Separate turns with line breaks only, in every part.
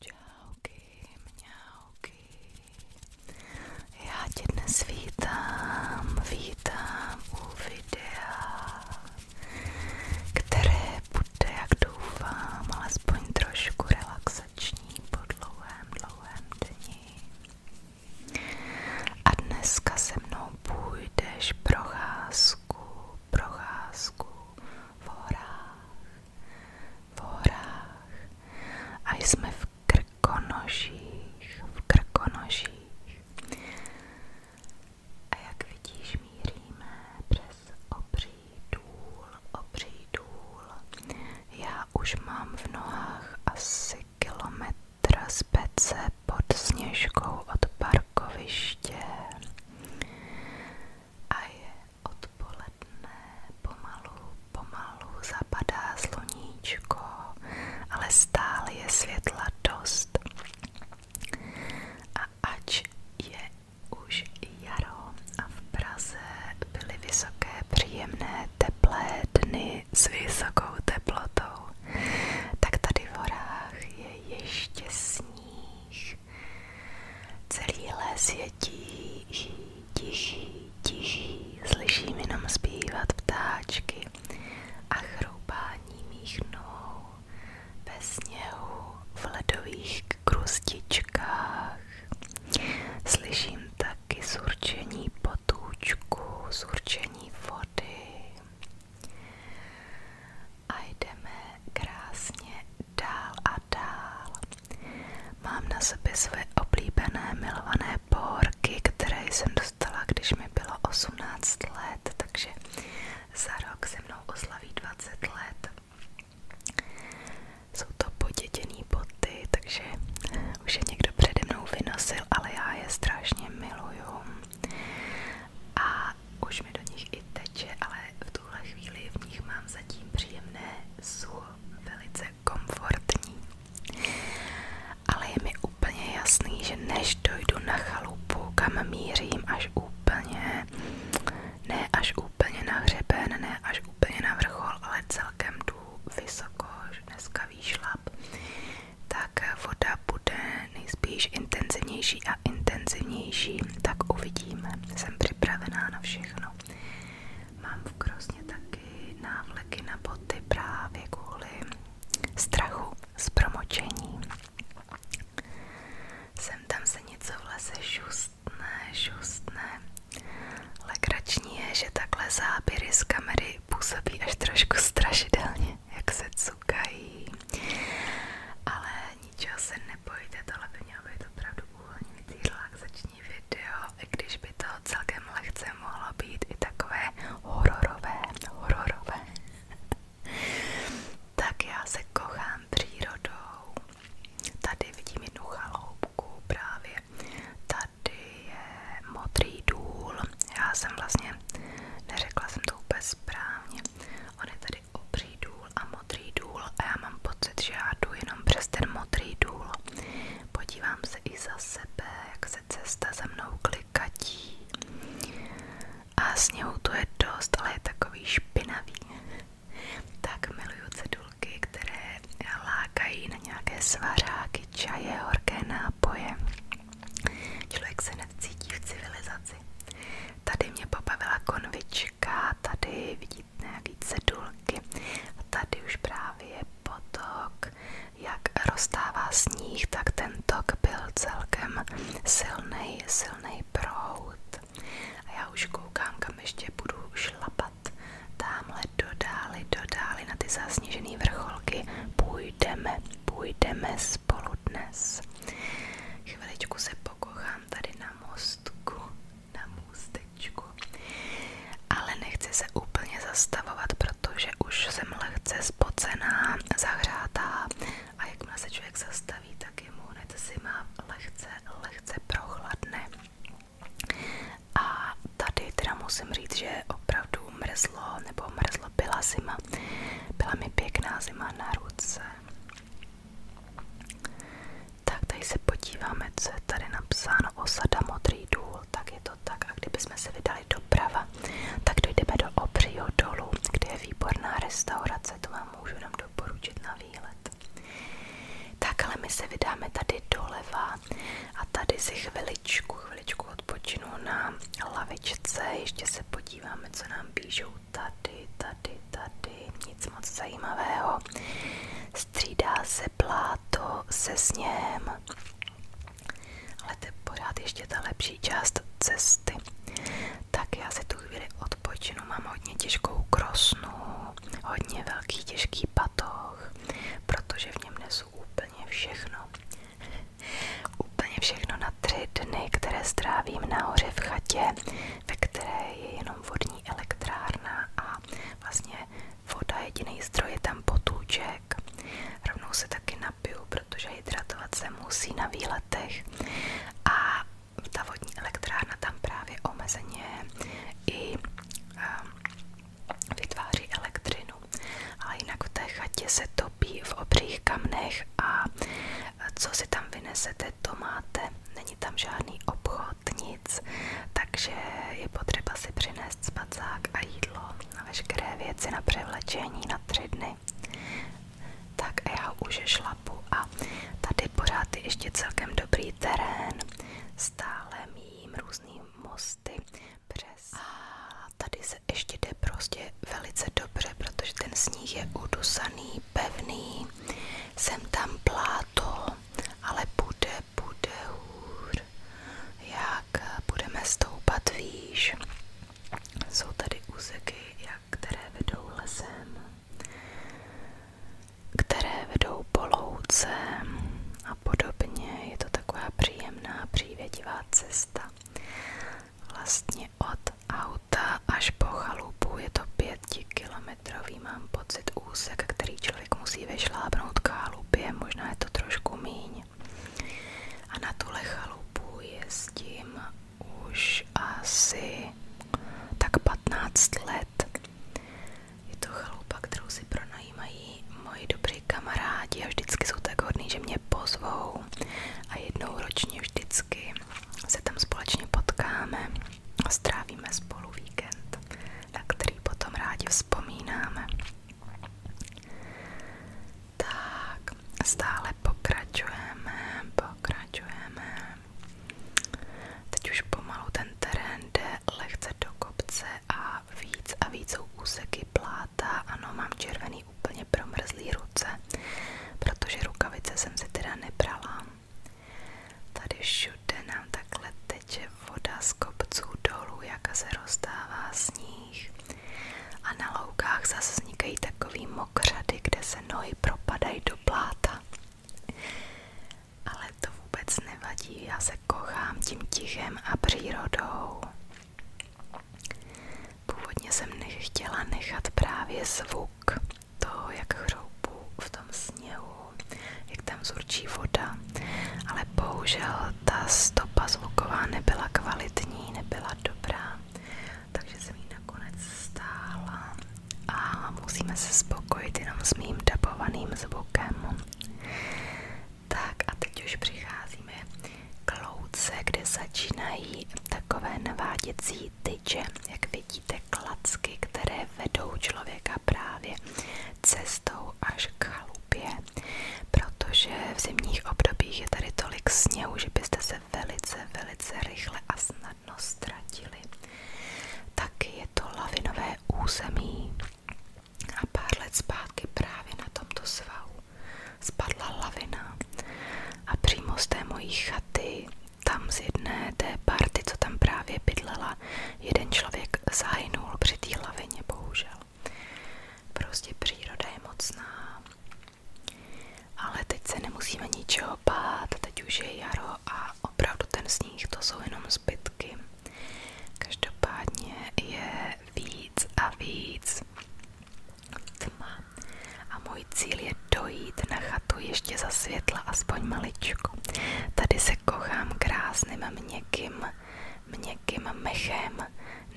Čauky, mňauky. Já tě dnes vítám, vítám u videa, které bude, jak doufám, alespoň trošku relaxační po dlouhém, dlouhém dni. A dneska se mnou půjdeš procházku procházku v horách, a jsme v krkonožích, v krkonožích. A jak vidíš, míříme přes obří důl, Já už mám v nohách asi kilometr z pece pod sněžkou od parkoviště a je odpoledne, pomalu, pomalu zapadá sluníčko, ale stále je světla dost. A ač je už jaro a v Praze vysoké, příjemné, teplé dny s vysokou teplotou, tak tady v horách je ještě sníh níž. Celý les je tichý, tichý, tichý, slyším jenom zpívat ptáčky a chroupání mých nohou ve sněhu v ledových krustičkách. Slyším taky surčení potůčku, surčení vody. A jdeme krásně dál a dál. Mám na sobě své oblíbené milované pohorky, které jsem dostala, když mi bylo 18 let, takže za rok se mnou oslaví 20 let. Jsou to poděděný boty, takže už je někdo přede mnou vynosil, ale já je strašně miluju. A už mi do nich i teče, ale v tuhle chvíli v nich mám zatím příjemné sucho, velice komfortní. Ale je mi úplně jasný, že než dojdu na chalupu, kam mířím až úplně, ne až úplně na hřeben, ne až úplně na vrchol, ale celkem jdu vysoko, dneska výšlap, tak voda bude nejspíš intenzivnější a intenzivnější, tak uvidíme. Jsem připravená na všechno. Mám v krosně taky návleky na boty právě kvůli strachu s promočení. Sem tam se něco v šustné, šustné. šustne. je, že takhle záběry z kamery působí až trošku strašidelně, jak se cukají. Ale ničeho se nebojte, tohle by mělo být opravdu uvolňující relaxační video, i když by to celkem lehce mohlo být i takové hororové, hororové. tak já se kochám přírodou. Tady vidím jednu chaloupku právě. Tady je modrý důl. Já jsem vlastně, neřekla jsem to úplně správně. On je tady obří důl a modrý důl a já mám pocit, že já jdu jenom přes ten modrý důl. Podívám se i za sebe, jak se cesta za mnou klikatí. A sněhu tu je dost, ale je takový špinavý. Tak miluju cedulky, které lákají na nějaké svařáky, čaje, horké nápoje. Člověk se necítí v civilizaci. Tady mě pobavila konvička, tady vidíte nějaký cedulky a tady už právě je potok. Jak roztává sníh, tak ten tok byl celkem silný, silný prout. A já už koukám, kam ještě budu šlapat. Tamhle dodáli, dodáli na ty zasněžené vrcholky půjdeme půjdeme spolu dnes. Chviličku se pokochám tady na mostku, na můstečku, ale nechci se úplně zastavovat, protože už jsem lehce spocená, zahřátá a jakmile se člověk zastaví, tak jemu hned si má lehce, lehce prochladne. A tady teda musím říct, že opravdu mrzlo, nebo mrzlo byla zima zima. Byla mi pěkná zima na ruce. Tak tady se podíváme, co je tady napsáno osada Modrý důl, tak je to tak. A kdybychom se vydali doprava, tak dojdeme do Obřího dolu, kde je výborná restaurace, to vám můžu nám doporučit na výlet. Tak ale my se vydáme tady doleva a tady si chviličku, chviličku chviličku odpočinu na lavičce, ještě se podíváme, co nám píšou tady, tady, tady, nic moc zajímavého. Střídá se pláto se sněhem, ale to je pořád ještě ta lepší část cesty. Tak já si tu chvíli odpočinu, mám hodně těžkou krosnu, hodně velký těžký patoh, protože v něm nesu úplně všechno. Úplně všechno na tři které strávím nahoře v ve které je jenom vodní elektrárna a vlastně voda jediný zdroj je tam potůček. Rovnou se taky napiju, protože hydratovat se musí na výletech. A ta vodní elektrárna tam právě omezeně i um, vytváří elektřinu, vodu. Ale jinak v té chatě se topí v obřích kamnech a e, co si tam vynesete, to máte. Není tam žádný obchod, nic, takže je potřeba si přinést spacák a jídlo a veškeré věci na převlečení na tři dny. Tak a já už šlapu a tady pořád je ještě celkem dobrý terén. Stále mým různým mosty. Přes. A tady se ještě jde prostě velice dobře, protože ten sníh je udusaný, pevný, jsem tam pláto, ale bude, bude hůř, jak budeme stoupat výš. Jsou tady úseky, jak, které vedou lesem, které vedou poloucem a podobně. Je to taková příjemná, přívětivá cesta. Vlastně od auta až po chalupu je to pětikilometrový, mám úsek, který člověk musí vyšlábnout k chalupě, možná je to trošku míň. A na tuhle chalupu jezdím už asi tak 15 let. Je to chalupa, kterou si pronajímají chodí moji dobrý kamarádi a vždycky jsou tak hodní, že mě pozvou a jednou ročně vždycky se tam společně potkáme a strávíme spolu víkend, na který potom rádi vzpomínáme. Tak, stále pokračujeme, pokračujeme. Teď už pomalu ten terén jde lehce do kopce a a víc a víc jsou úseky pláta. Ano, mám červený úplně promrzlý ruce, protože rukavice jsem si teda nebrala. Tady všude nám takhle teče voda z kopců dolů, jak se rozdává sníh. A na loukách zase vznikají takový mokřady, kde se nohy propadají do pláta. Ale to vůbec nevadí, já se kochám tím tichem a přírodou. Původně jsem nechtěla nechat právě zvuk toho, jak hroubu v tom sněhu, jak tam zurčí voda, ale bohužel ta stopa zvuková nebyla kvalitní, nebyla dobrá, takže jsem ji nakonec stála a musíme se spokojit jenom s mým dabovaným zvukem. Tak a teď už přicházíme k louce, kde začínají takové naváděcí tyče, jak vidíte klacky, které vedou člověka právě cestou až k chalupě, protože v zimních obdobích je tady tolik sněhu, že byste se velice, velice rychle a snadno ztratili. Taky je to lavinové území, a pár let zpátky právě na tomto svahu spadla lavina a přímo z té mojí chaty, tam z jedné té party, co tam právě bydlela, jeden člověk zahynul při té lavině, bohužel. Prostě příroda je mocná. Ale teď se nemusíme ničeho bát, teď už je jaro a opravdu ten sníh to jsou jenom zbytky. Každopádně je víc a víc. Tma. A můj cíl je dojít na chatu ještě za světla, aspoň maličku. Tady se kochám krásným měkkým, měkkým mechem,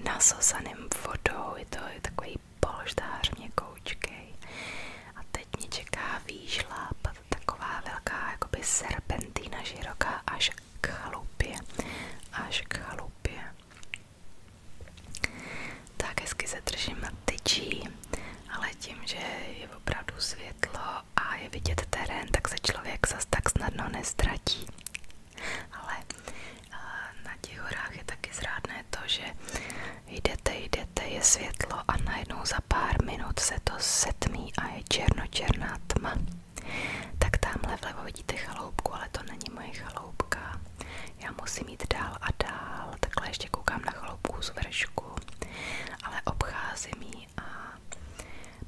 nasosaným vodou. Je to je takový polštář měkoučkej. A teď mě čeká výšlap, taková velká jakoby serpentína široká až k chalupě, až k chalupě. Tak hezky se držím ale tím, že je opravdu světlo a je vidět terén, tak se člověk zas tak snadno nestratí. Ale na těch je taky zrádné to, že jdete, jdete, je světlo a najednou za pár minut se to setmí a je černočerná tma. Tak tamhle vlevo vidíte chaloupku, ale to není moje chaloupka. Já musím jít dál a dál, takhle ještě koukám na chaloupku z vršku, ale obcházím ji a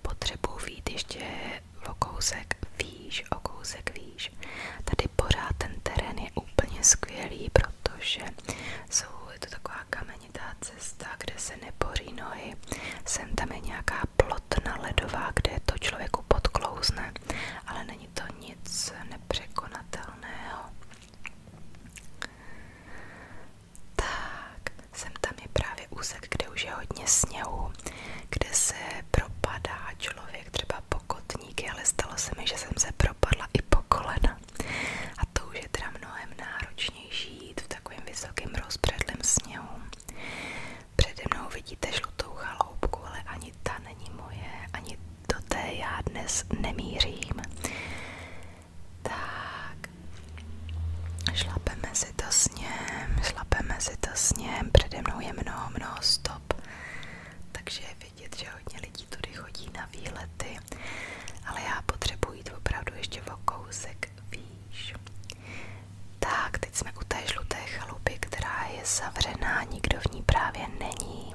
potřebuji vít ještě o kousek výš, o kousek Tady pořád terén je úplně skvělý, protože jsou to taková kamenitá cesta, kde se nepoří nohy. Sem tam je nějaká taková ledová, kde to člověku podklouzne, ale není to nic nepřekonatelného. Tak, sem tam je právě úsek, kde už je hodně sněhu, kde se propadá člověk třeba pokotníky, ale stalo se mi, že jsem se propadla i po kolena. A to už je teda mnohem náročnější jít v takovém vysokém rozpředlém sněhu. Přede mnou vidíte žlutou chaloupku, ale ani ta není moje, ani do té já dnes nemířím. Tak, šlapeme si to sněm, šlapeme si to sněm, přede mnou je mnoho, mnoho stop, takže je že hodně lidí tudy chodí na výlety, ale já potřebuji jít ještě o kousek jak víš. Tak, teď jsme u té žluté chalupy, která je zavřená, nikdo v ní právě není.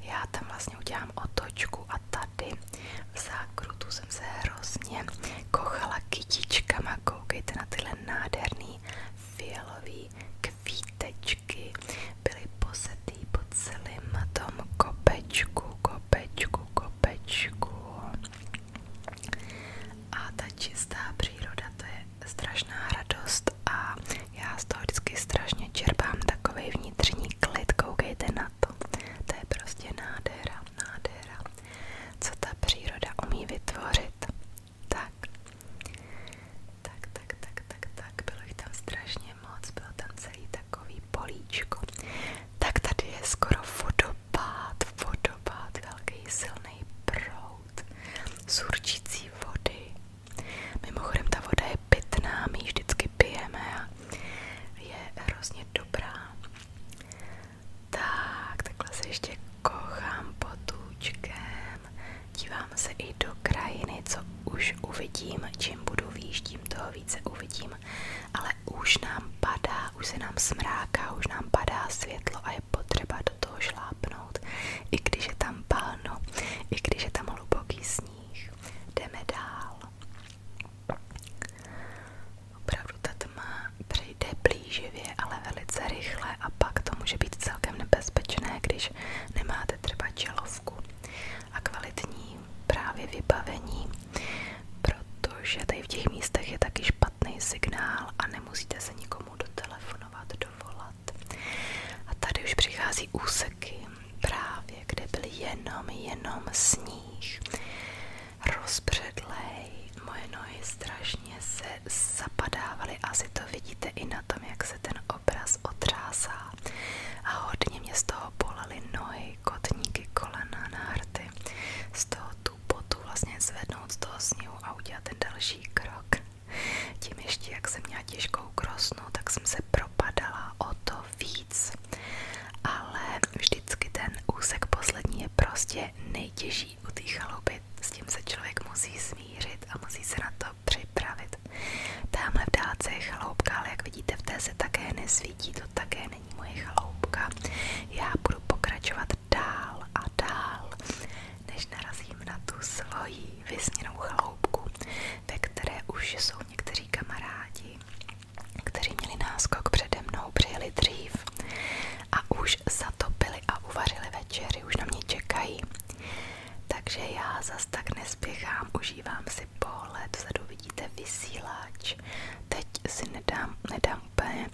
Já tam vlastně udělám otočku a tady v zákrutu jsem se hrozně kochala kytičkama. Koukejte na tyhle nádherný fialový kvítečky. Byly posetý po celém tom kopečku, kopečku, kopečku. A ta čistá příroda, to je strašná radost a já z toho vždycky strašně čerpám takový vnitřní klid, koukejte na to. To je prostě nádhera, nádhera, co ta příroda umí vytvořit. Tak, tak, tak, tak, tak, tak, bylo jich tam strašně moc, bylo tam celý takový políčko tak tady je skoro vodopád, vodopád, velký silný proud z určící vody. Mimochodem ta voda je pitná, my ji vždycky pijeme a je hrozně dobrá. Tak, takhle se ještě kochám potůčkem, dívám se i do krajiny, co už uvidím, čím budu výš, tím toho více uvidím nevím, ale už nám padá, už se nám smráká, už nám padá světlo a je potřeba do toho šlápnout, i když je tam pálno, i když je tam hluboký sníh. Jdeme dál. Opravdu ta tma přejde blíživě, ale velice rychle a pak to může být celkem nebezpečné, když nemáte třeba čelovku a kvalitní právě vybavení protože tady v těch místech je taky špatný signál a nemusíte se nikomu dotelefonovat, dovolat. A tady už přichází úseky, právě kde byl jenom, jenom sníh. Rozpředlej, moje nohy strašně se zapadávaly, asi to vidíte i na tom, jak se ten obraz otřásá. A hodně mě z toho bolely nohy, ty kotníky kolena na z toho tu vlastně zvednout z toho sněhu a ten další krok. Tím ještě, jak jsem měla těžkou krosnu, tak jsem se propadala o to víc. Ale vždycky ten úsek poslední je prostě nejtěžší u té chaluby. S tím se člověk musí smířit a musí se na to připravit. Tamhle v dálce je chaloupka, ale jak vidíte, v té také nesvítí, také není moje chaloupka. Já budu pokračovat dál a dál, než narazím na tu svoji vysněnou chaloupku, ve které už jsou někteří kamarádi, kteří měli náskok přede mnou, přijeli dřív a už zatopili a uvařili večery, už na mě čekají. Takže já zas tak nespěchám, užívám si si pohled, vzadu vidíte vysílač. Teď si nedám, nedám úplně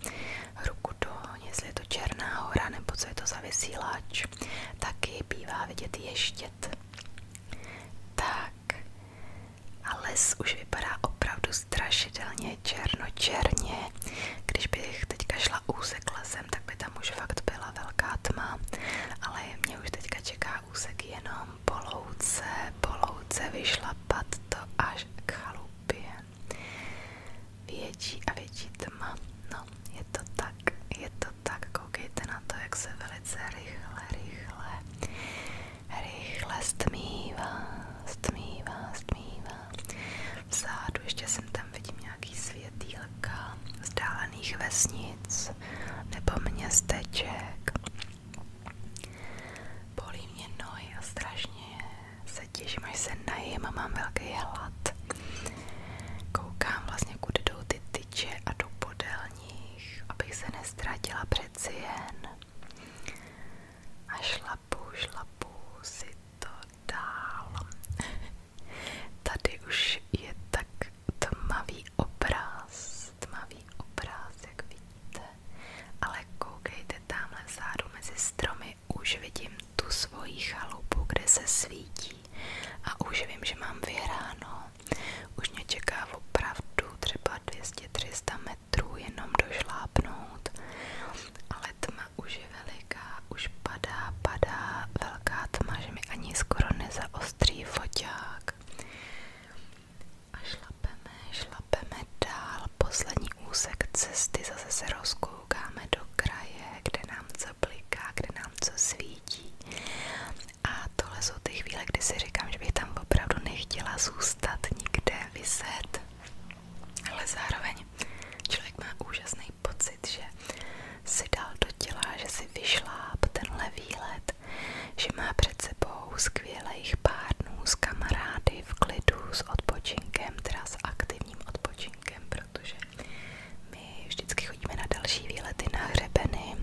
ruku do, jestli je to Černá hora nebo co je to za vysílač. Taky bývá vidět ještět. Tak, a les už vypadá opravdu strašidelně černo-černě. Když bych teďka šla úsek lesem, tak by tam už fakt byla velká tma, ale mě už teďka čeká úsek jenom tam po louce, po louce vyšlapat to až k chalupě. Větší a větší tma. No, je to tak, je to tak. Koukejte na to, jak se velice rychle, rychle, rychle stmívá, stmívá, stmívá. Vzadu ještě jsem tam vidím nějaký světýlka vzdálených vesnic nebo městeček. Bolí mě nohy a strašně se těším, až se najím a mám velký hlad. Koukám vlastně, kudy jdou ty tyče a jdu podél nich, abych se nestratila přeci jen. A šlapu, šlapu si to dál. Tady už je tak tmavý obraz dost tmavý obraz, jak vidíte, ale koukejte tamhle vzadu mezi stromy, už vidím tu svoji chalupu, kde se svítí a už vím, že mám vyhráno. Už mě čeká opravdu třeba 200-300 metrů jenom došlápnout, ale tma už je veliká, už padá, padá velká tma, že mi ani skoro nezaostří foťák. A šlapeme, šlapeme dál. Poslední úsek cesty zase se rozkoukáme do kraje, kde nám co bliká, kde nám co svítí. A tohle jsou ty chvíle, kdy si říkám, že bych tam opravdu nechtěla zůstat nikde vyset. Ale zároveň člověk má úžasný pocit, že si dal do těla, že si vyšláp tenhle výlet vědět, že má před sebou skvělých pár dnů s kamarády v klidu, s odpočinkem, teda s aktivním odpočinkem, protože my vždycky chodíme na další výlety na hřebeny,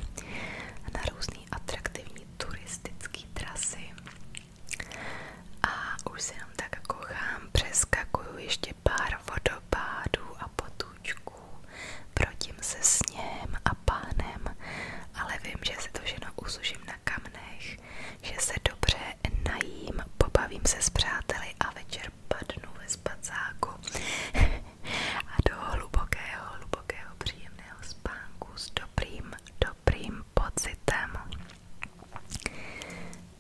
na různé atraktivní turistické trasy a už se nám tak kochám, přeskakuju ještě pár vodopádů a potůčků ptáků, protím se sněhem a pánem, ale vím, že si to všechno usužím na kamnech, že se dobře najím, pobavím se s přáteli a večer padnu ve spacáku a do hlubokého, hlubokého příjemného spánku s dobrým, dobrým pocitem.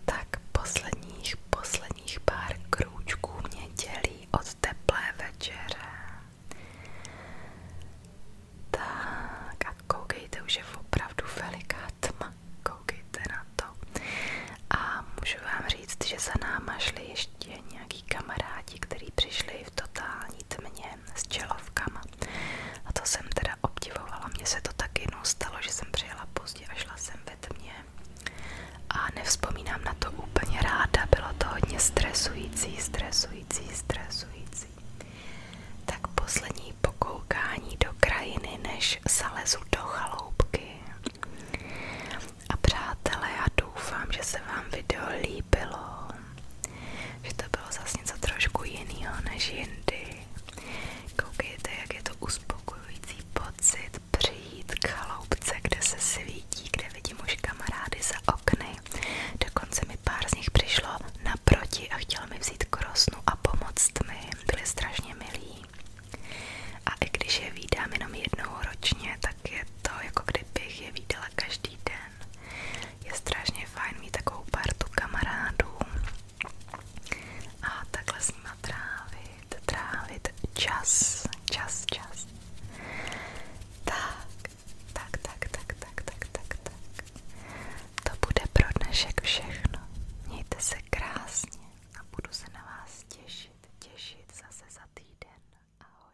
Tak posledních, posledních pár krůčků mě dělí od teplé večeře. Tak a už je opravdu veliká tma, koukejte na to. A můžu vám říct, že za náma ještě nějaký kamarádi, kteří přišli v totální tmě s čelovkama. A to jsem teda obdivovala, mně se to taky jednou že jsem přijela pozdě a šla jsem ve tmě. A vzpomínám na to úplně ráda, bylo to hodně stresující, stresující, stresující. Tak poslední pokoukání do krajiny, než zalezu do chaloupky. A přátelé, já doufám, že se vám video líbilo, že to bylo zase něco trošku jiného než jindy. Koukejte, jak je to uspokojující pocit přijít k chaloupce, kde se svítí, kde vidíte lidi muž kamarády za okny. Dokonce mi pár z nich přišlo naproti a chtělo mi vzít krosnu a pomoct mi. Byli strašně milí. A i když je vídám jenom jednou ročně, tak je to jako kdybych je viděla každý den. Je strašně fajn mít takovou partu kamarádů a takhle s nima trávit, trávit čas, čas, čas. Tak, tak, tak, tak, tak, tak, tak, tak. To bude pro dnešek všechno. Mějte se krásně a budu se na vás těšit, těšit zase za týden. Ahoj.